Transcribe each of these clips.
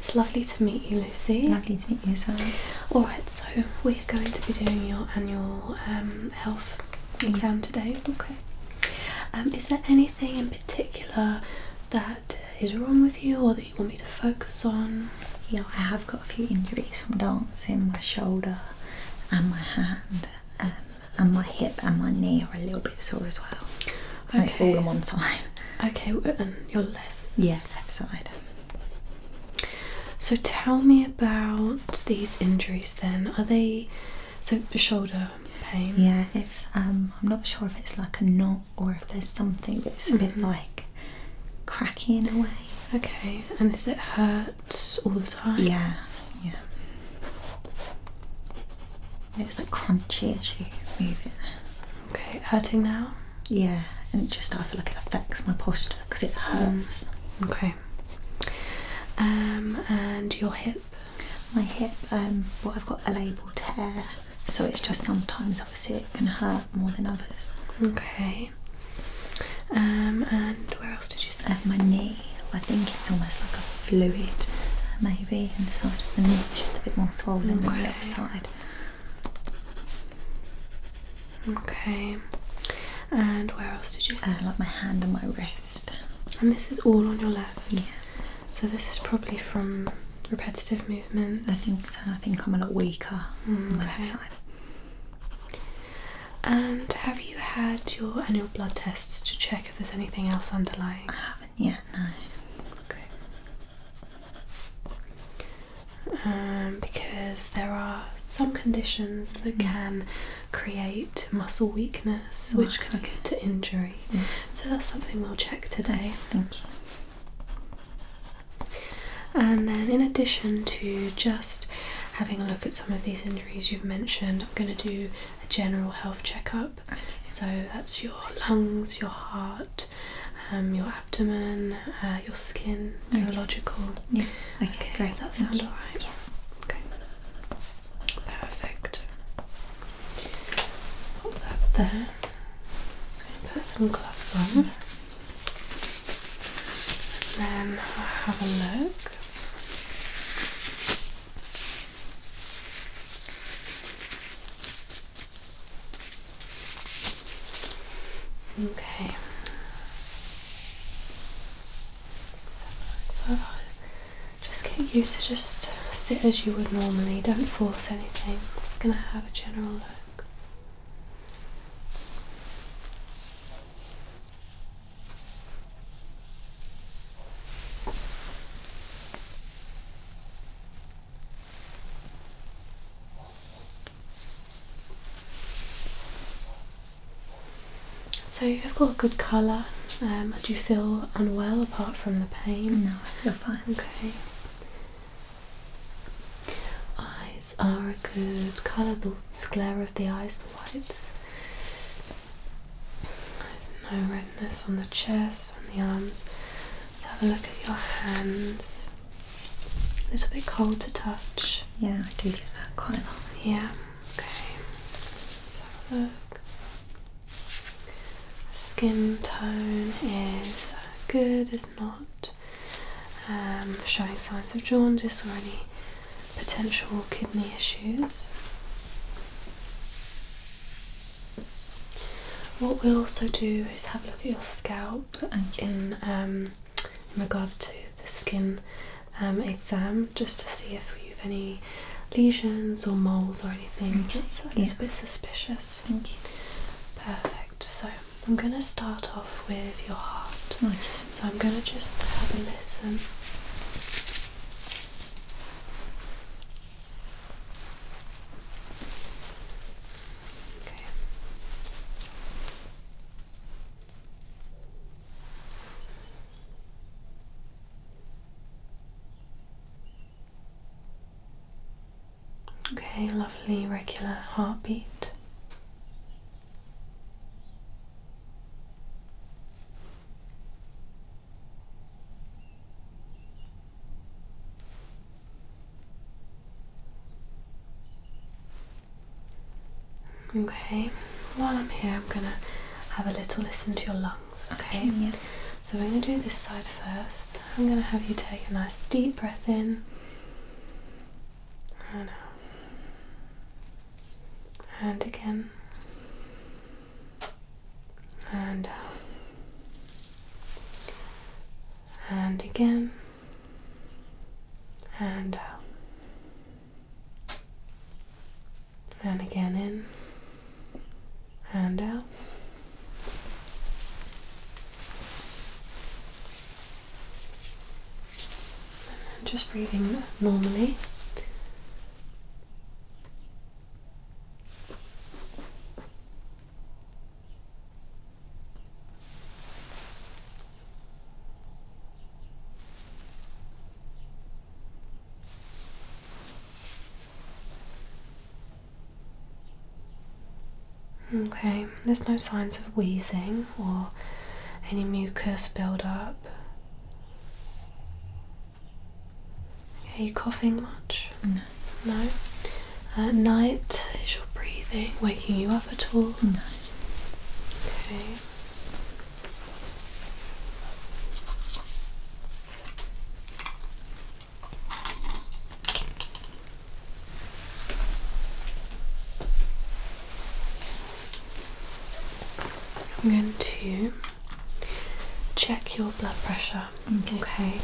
It's lovely to meet you, Lucy. Lovely to meet you, Sally. Alright, so we're going to be doing your annual um, health exam today. Okay. Um, is there anything in particular that is wrong with you or that you want me to focus on? Yeah, I have got a few injuries from dancing. My shoulder and my hand um, and my hip and my knee are a little bit sore as well. Okay. And it's all in one time. Okay, and your left. Yeah, left side. So tell me about these injuries then. Are they so the shoulder pain? Yeah, it's um I'm not sure if it's like a knot or if there's something that's mm a bit mm-hmm. like cracky in a way. Okay, and does it hurt all the time? Yeah, yeah. It's like crunchy as you move it. Okay, hurting now? Yeah, and just I feel like it affects my posture because it hurts. Mm, okay. Um, and your hip? My hip, um, well, I've got a label tear, so it's just sometimes obviously it can hurt more than others. Okay. Um, and where else did you say? my knee. I think it's almost like a fluid, maybe, in the side of the knee. It's just a bit more swollen okay. than the other side. Okay. And where else did you? See? Uh, like my hand and my wrist. And this is all on your left. Yeah. So this is probably from repetitive movements. I think I think I'm a lot weaker on my left mm, side. And have you had your annual blood tests to check if there's anything else underlying? I haven't yet. No. Okay. Um, because there are some conditions that mm. can create muscle weakness, which can lead to injury. Mm. So that's something we'll check today. Thank you. And then, in addition to just having a look at some of these injuries you've mentioned, I'm going to do a general health checkup. Okay. So that's your lungs, your heart, um, your abdomen, uh, your skin, neurological. Yeah. Okay, okay great. Does that sound alright? Yeah. Okay. Perfect. pop that there. Just gonna put some gloves on. Mm Then I'll have a look. Okay. So, just get used to just sit as you would normally. Don't force anything. I'm just going to have a general look. So you've got good colour. Um, do you feel unwell apart from the pain? No, I feel fine. Okay. Eyes are a good colour. The sclera of the eyes, the whites. There's no redness on the chest, on the arms. Let's have a look at your hands. A little bit cold to touch. Yeah, I do get that quite a lot. Yeah, okay. have a look. Skin tone is good, it's not um, showing signs of jaundice or any potential kidney issues. What we'll also do is have a look at your scalp um, in regards to the skin um, exam, just to see if you've any lesions or moles or anything that's a little bit suspicious. Thank you. Perfect. So I'm going to start off with your heart. Okay. So I'm going to just have a listen. Okay. lovely regular heartbeat. Okay, while I'm here, I'm gonna have a little listen to your lungs, okay? So, we're gonna do this side first. I'm gonna have you take a nice deep breath in and out, and again, and out, um, and again, and out, um, and again in, and out. just breathing normally. Okay, there's no signs of wheezing or any mucus buildup. Are you coughing much? No. At night, is your breathing waking you up at all? No. Okay. I'm going to check your blood pressure. Okay. Mm-hmm. okay.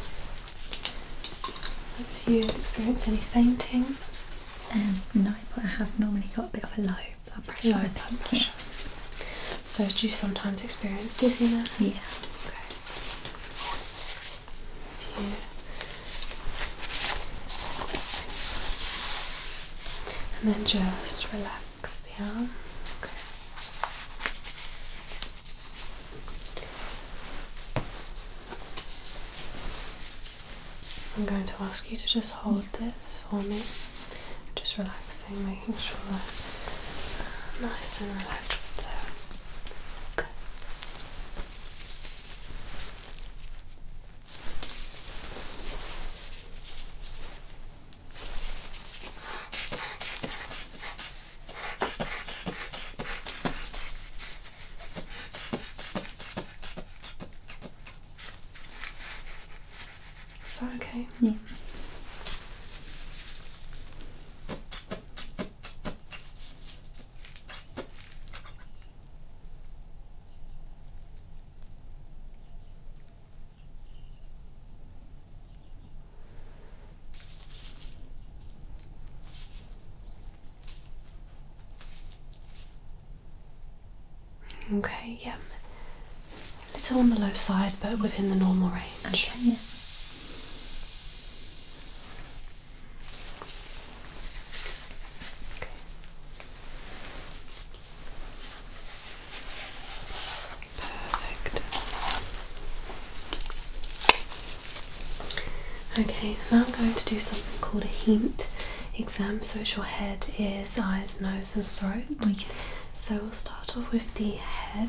Have you experienced any fainting? Um, no, but I have normally got a bit of a low blood pressure. Low blood pressure. So do you sometimes experience dizziness? Yeah. Okay. and then just relax the arm. Okay. I'm going to ask you to just hold this for me, just relaxing, making sure that nice and relaxed there. Okay. Is that okay? Yeah. Okay, yeah. A little on the low side, but within the normal range. Okay. Perfect. Okay, now I'm going to do something called a heat exam. So it's your head, ears, eyes, nose, and throat. So we'll start off with the head.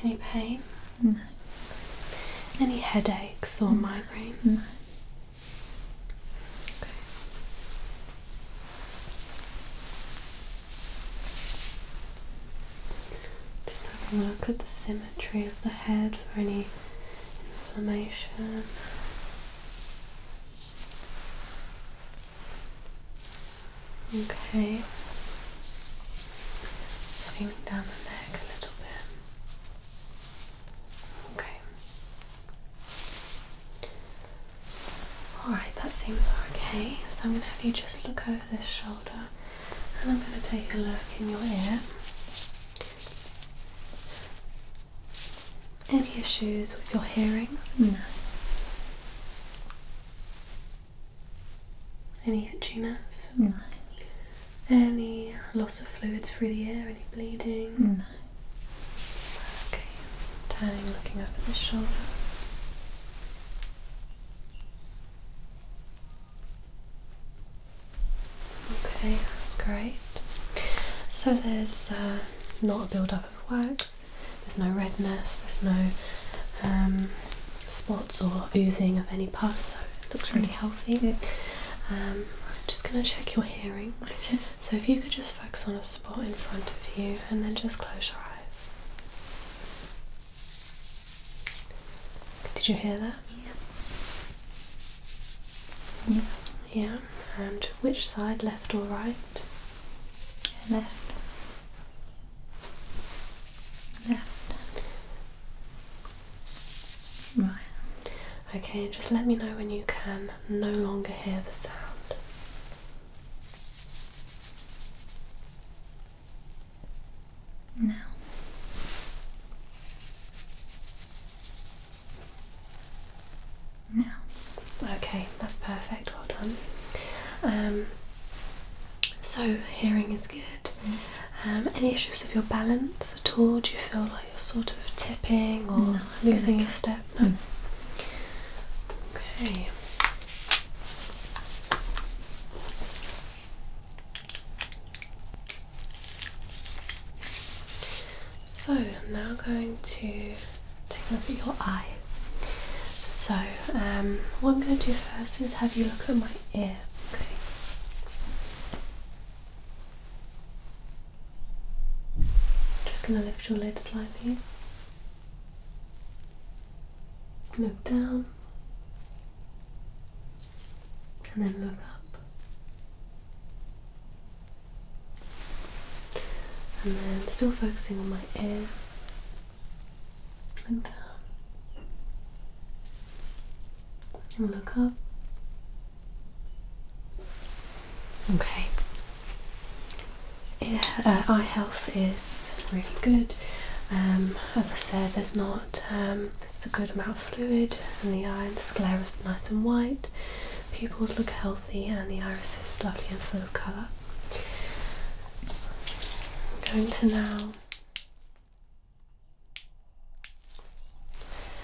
Any pain? No. Any headaches or migraine? No. Just having a look at the symmetry of the head for any inflammation. Okay. Swinging down the neck a little bit. Okay. Alright, that seems okay. So I'm going to have you just look over this shoulder and I'm going to take a look in your ear. Any issues with your hearing? No. Any itchiness? No. Any loss of fluids through the ear? Any bleeding? No. Okay, turning, looking up at the shoulder. Okay, that's great. So there's uh, not a build-up of wax, there's no redness, there's no um, spots or oozing of any pus, so it looks really mm. healthy. Um, I'm just going to check your hearing. So if you could just focus on a spot in front of you and then just close your eyes. Did you hear that? Yeah. Yeah. And which side, left or right? Left. Left. Right. Okay, just let me know when you can no longer hear the sound. Now, now. Okay, that's perfect. Well done. Um, so hearing is good. Mm. Um, any issues with your balance at all? Do you feel like you're sort of tipping or losing your step? Mm. Okay. So I'm now going to take a look at your eye. So um, what I'm going to do first is have you look at my ear. Just going to lift your lid slightly. Look down and then look up. And then still focusing on my ear. Look down. And look up. Okay. Uh, eye health is really good. Um, as I said, there's not um, it's a good amount of fluid in the eye, and the sclera is nice and white, pupils look healthy, and the iris is lovely and full of colour. I'm going to now.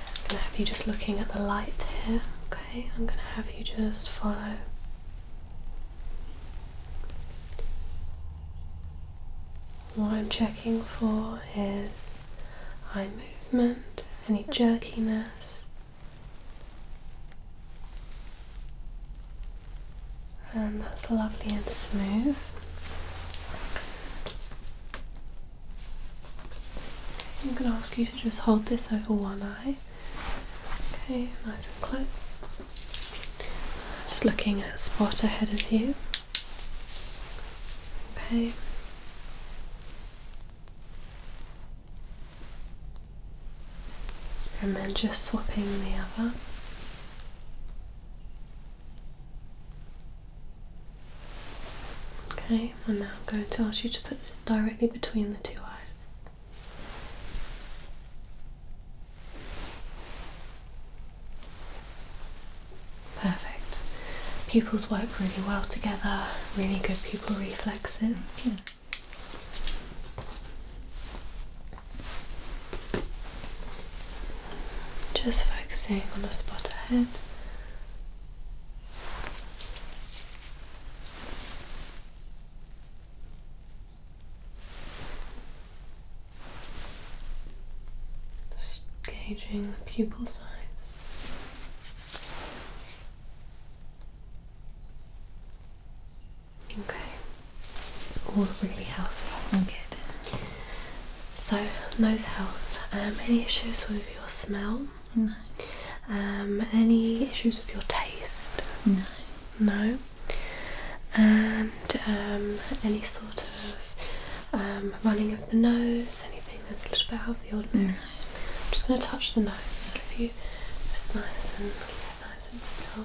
I'm going to have you just looking at the light here, okay? I'm going to have you just follow. What I'm checking for is eye movement, any jerkiness. And that's lovely and smooth. I'm going to ask you to just hold this over one eye. Okay, nice and close. Just looking at a spot ahead of you. Okay. And then just swapping the other. Okay, and now I'm going to ask you to put this directly between the two eyes. Perfect. Pupils work really well together, really good pupil reflexes. Just focusing on the spot ahead. Just gauging the pupil size. Okay, all really healthy good. So, nose health. Um, any issues with your smell? No. Um, any issues with your taste? No. No. And um, any sort of um, running of the nose, anything that's a little bit out of the ordinary. I'm just going to touch the nose, so if you just nice and nice and still.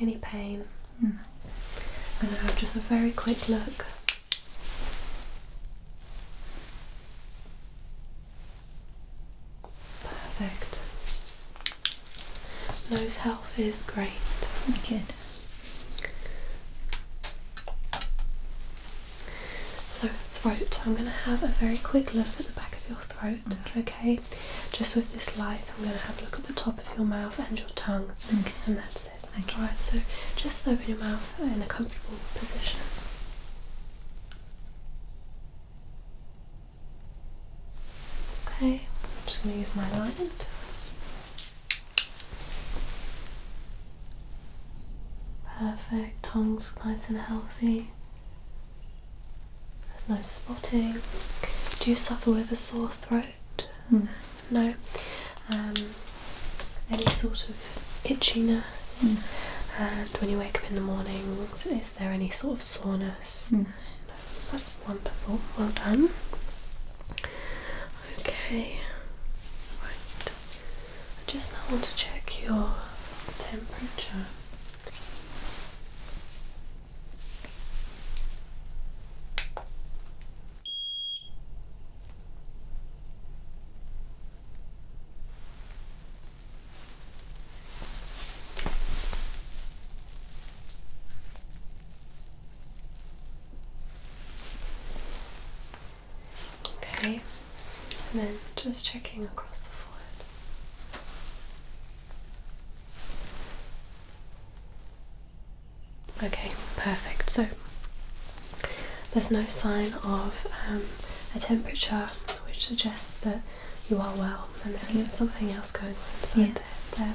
Any pain? Mm. And I have just a very quick look. Perfect. Lowe's health is great. Wicked. So throat, I'm going to have a very quick look at the back of your throat, okay? Just with this light, I'm going to have a look at the top of your mouth and your tongue, and that's it. Okay. Alright, so just open your mouth in a comfortable position. Okay, I'm just going to use my light. Perfect, tongue's nice and healthy. There's no spotting. Do you suffer with a sore throat? Hmm. No. Um, any sort of itchiness? Hmm. And when you wake up in the morning, is there any sort of soreness? Hmm. That's wonderful. Well done. Okay. Right. I just now want to check your temperature. Okay, and then just checking across the forehead. Okay, perfect. So there's no sign of um, a temperature which suggests that you are well and there's something else going on inside there. there.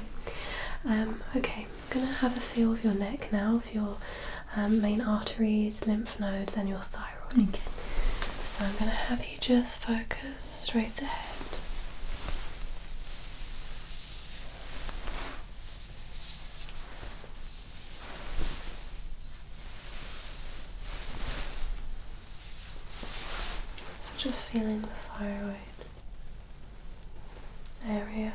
Um, okay, I'm going to have a feel of your neck now, of your um, main arteries, lymph nodes, and your thyroid. Okay. So I'm going to have you just focus straight ahead. So just feeling the thyroid area.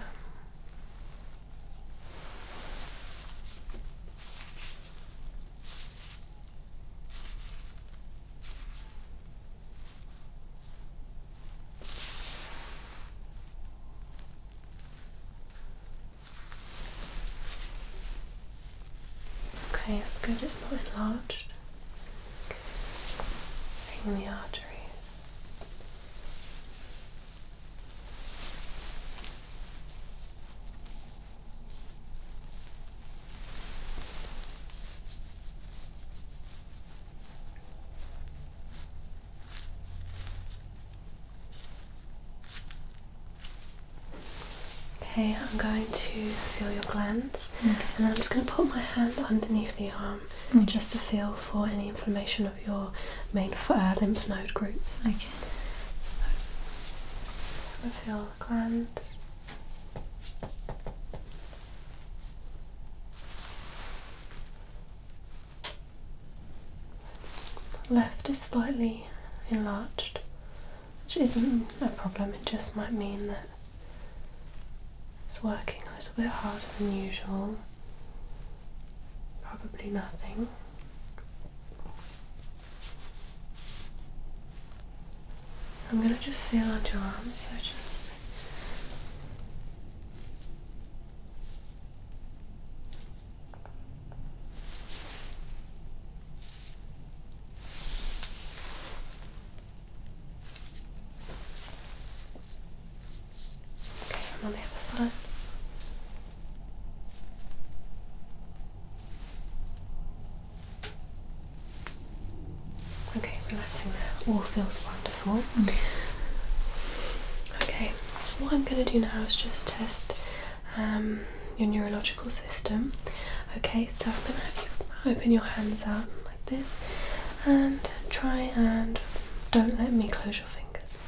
Okay, that's good, it's not enlarged. Bring the arteries. Okay, I'm going to feel your glands and then I'm just going to put my hand underneath the arm just to feel for any inflammation of your main uh, lymph node groups. Okay. So, I'm going to feel the glands. Left is slightly enlarged, which isn't a problem, it just might mean that it's working a little bit harder than usual. Probably nothing. I'm going to just feel under your arm, so just Okay, I'm on the other Okay, relaxing there. All feels wonderful. Mm. Okay, what I'm going to do now is just test um, your neurological system. Okay, so I'm going to have you open your hands out like this and try and don't let me close your fingers.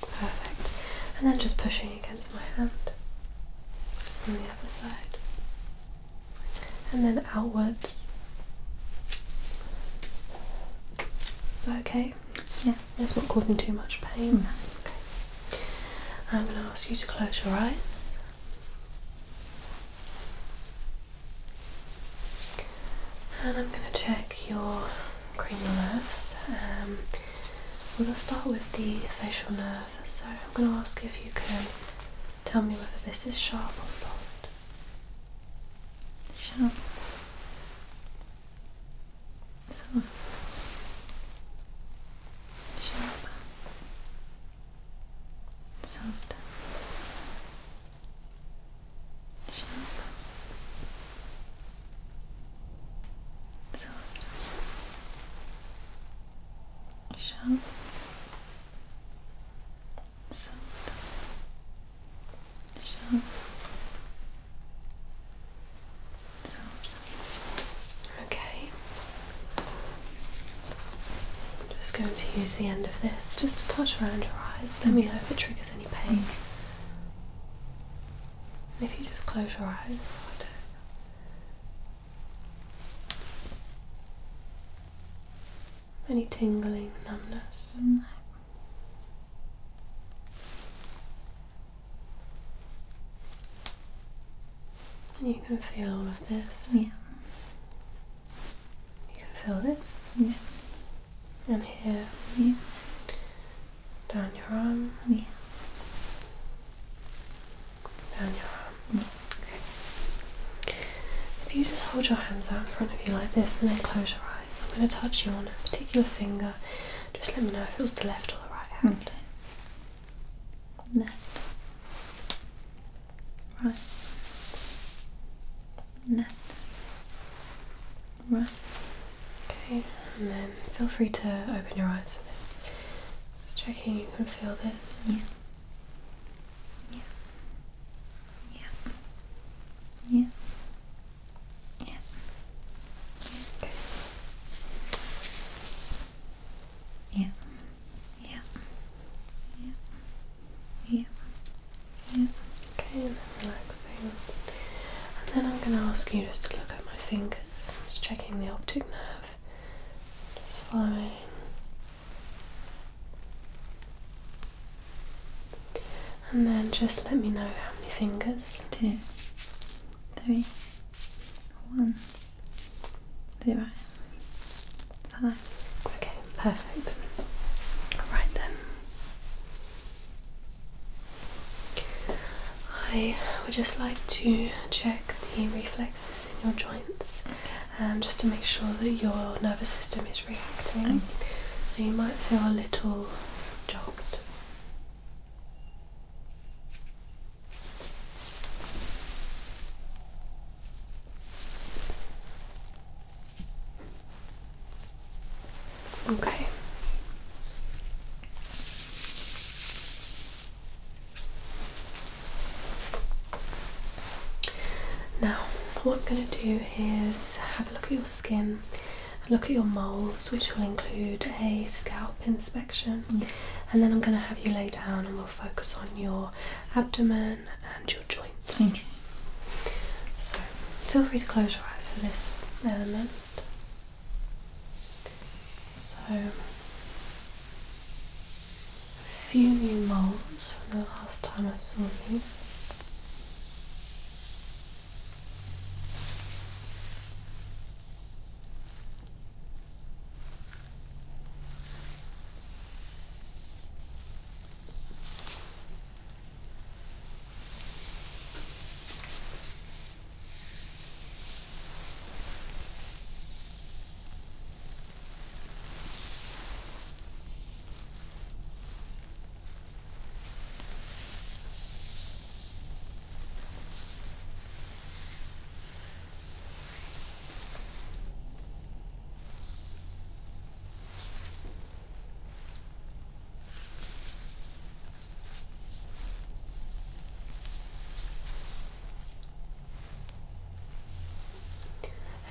Perfect. And then just pushing against my hand on the other side. And then outwards is that okay? Yeah. It's not causing too much pain? Mm. Okay. I'm going to ask you to close your eyes. And I'm going to check your cranial nerves. Um, we'll start with the facial nerve. So I'm going to ask if you can Tell me whether this is sharp or soft. Sharp. Soft. Sharp. Soft. Sharp. Soft. Sharp soft soft okay just going to use the end of this just to touch around your eyes let me know if it triggers any pain mm. and if you just close your eyes any tingling, numbness? you can feel this? Yeah. You can feel this? Yeah. And here? Yeah. Down your arm? Yeah. Down your arm? Yeah. If you just hold your hands out in front of you like this and then close your eyes, I'm going to touch you on a particular finger. Just let me know if it was the left or the right hand. Left, right, left, right. Okay, and then feel free to open your eyes for this. Checking you can feel this. Yeah. Yeah. Yeah. Yeah. Yeah. Okay. Yeah. Yeah. Yeah. Yeah. Yeah. Okay, and then relaxing. And then I'm gonna ask you just to look at my fingers. I'm just checking the optic nerve. Just following and then just let me know how many fingers. Two, three, one, zero, five. Okay, perfect. Right then. I would just like to check the reflexes in your joints um, just to make sure that your nervous system is reacting, so you might feel a little jolt. Okay. Now, what I'm going to do is have a look at your skin, look at your moles, which will include a scalp inspection, mm. and then I'm going to have you lay down and we'll focus on your abdomen and your joints. So, feel free to close your eyes for this element. So, a few new moles from the last time I saw you.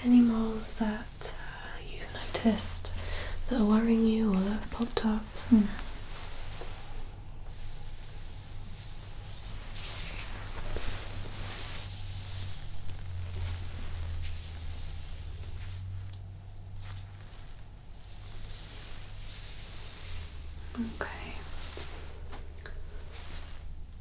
Any moles that that uh, you've noticed that are worrying you or that have popped up? Hmm. Okay.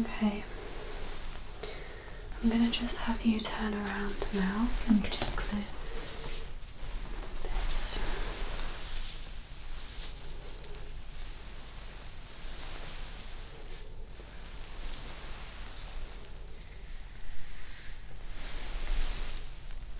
Okay. I'm going to just have you turn around now. i just going this.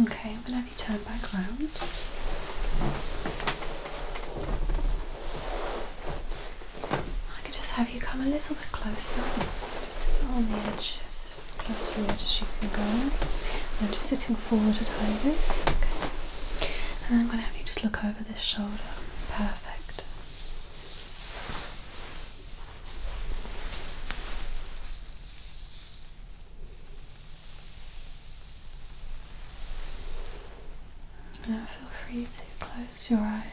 Okay, I'm going to have you turn back round. I could just have you come a little bit closer, just on the edges across the edge as you can go. I'm just sitting forward at home. Okay. And I'm going to have you just look over this shoulder. Perfect. Now feel free to close your eyes.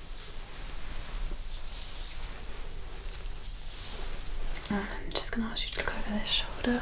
I'm just going to ask you to look over this shoulder.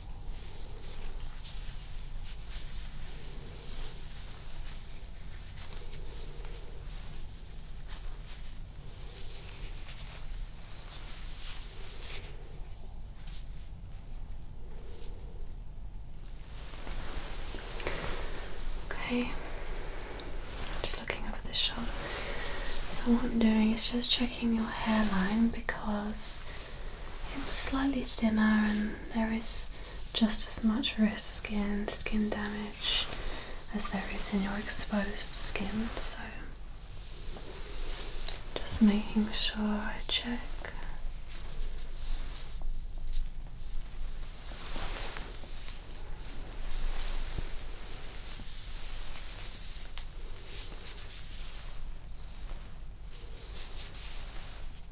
Okay, just looking over this shoulder. So, what I'm doing is just checking your hairline because it's slightly thinner and there is just as much risk in skin damage as there is in your exposed skin so just making sure I check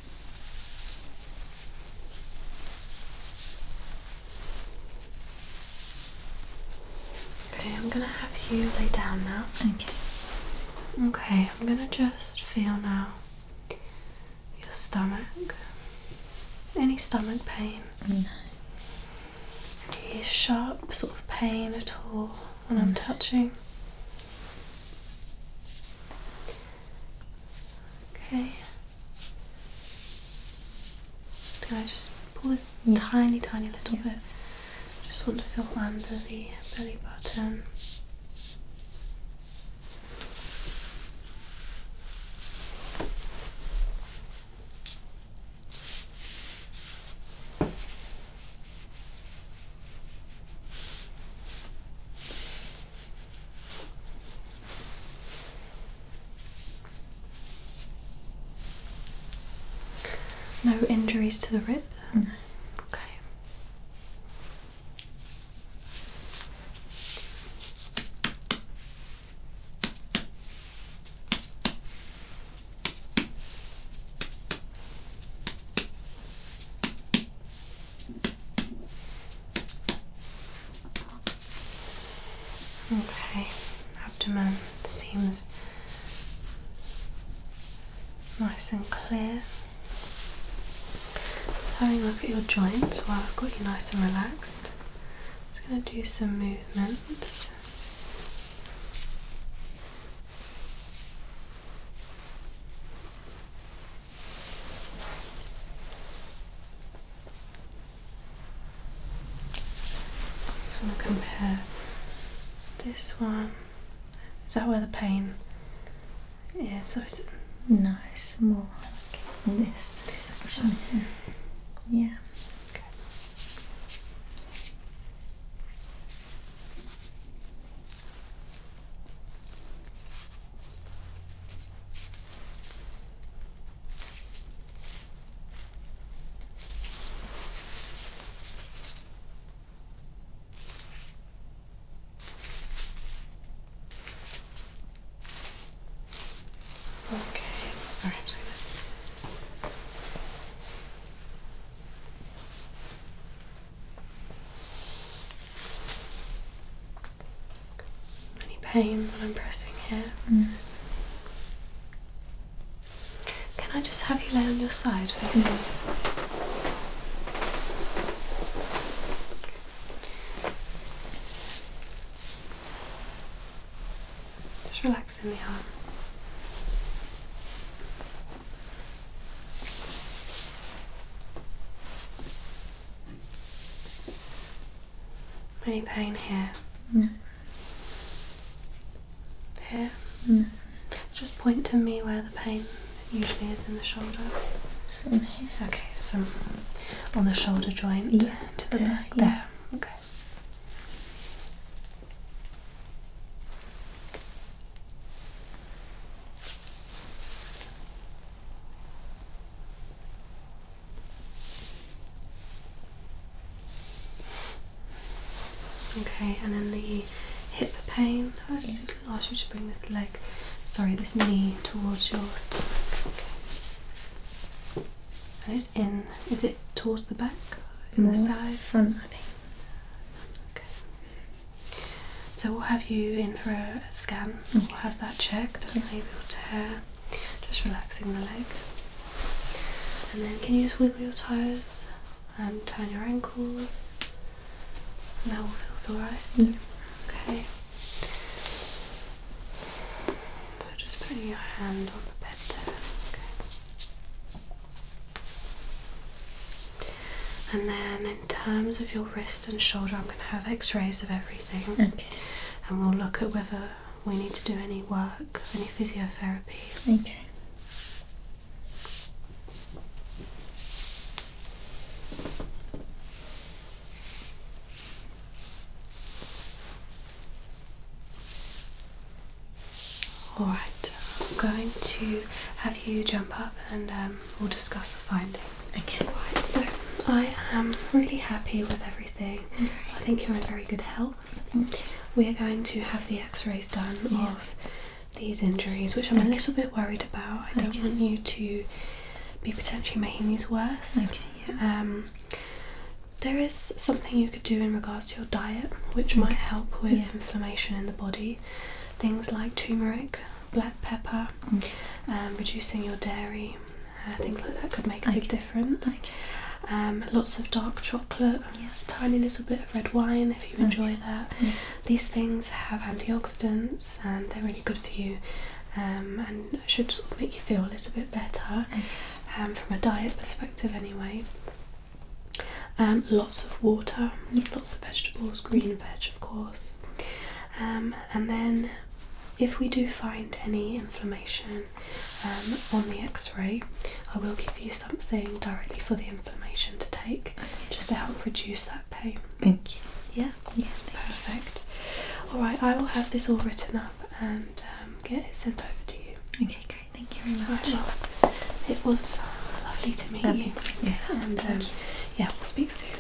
Okay, I'm gonna have you lay down now. Okay. Okay, I'm gonna just feel now your stomach. Any stomach pain? No. Any sharp sort of pain at all when I'm touching? Okay, can I just pull this tiny, tiny little yeah. bit? Just want to feel under the belly button. No injuries to the rib? Okay. Okay, abdomen seems nice and clear. Just having a look at your joints while I've got you nice and relaxed. Just going to do some movements. So we'll compare this one. Is that where the pain Yeah. So it's nice, more like this. this here. Yeah. Okay, sorry, I'm just gonna any pain when I'm pressing here. Mm. Can I just have you lay on your side facing this way? Just relax in the arm. Any pain here? No. Here? No. Just point to me where the pain usually is in the shoulder. Some here. Okay, So, on the shoulder joint to the back. There. Okay. Okay, and then the hip pain. I was just going to ask you to bring this leg, sorry, this knee towards your stomach. Okay. And it's in, is it towards the back? In the side? Front, I think. So we'll have you in for a scan. We'll have that checked and maybe your will Just relaxing the leg. And then can you just wiggle your toes and turn your ankles? that all feels alright? Okay. So just putting your hand on the bed there. Okay. And then in terms of your wrist and shoulder, I'm going to have x rays of everything. And we'll look at whether we need to do any work, any physiotherapy. Okay. Alright, I'm going to have you jump up and um, we'll discuss the findings. Okay. Right, so I am really happy with everything. I think you're in very good health. We are going to have the x-rays done of these injuries, which I'm a little bit worried about. I don't want you to be potentially making these worse. Okay, yeah. Um, there is something you could do in regards to your diet, which might help with inflammation in the body. Things like turmeric black pepper, mm. reducing your dairy, uh, things like that could make a big difference. Um, lots of dark chocolate, yes. tiny little bit of red wine if you enjoy that. These things have antioxidants and they're really good for you um, and should sort of make you feel a little bit better from a diet perspective, anyway. lots of water, lots of vegetables, green veg, of course. Um, and then if we do find any inflammation um, on the x-ray I will give you something directly for the inflammation to take just to help reduce that pain. Thank you. Yeah? Yeah. Perfect. Alright, I will have this all written up and um, get it sent over to you. Okay, great. Thank you very much. it was uh, lovely to meet you. To And you. yeah, we'll speak soon.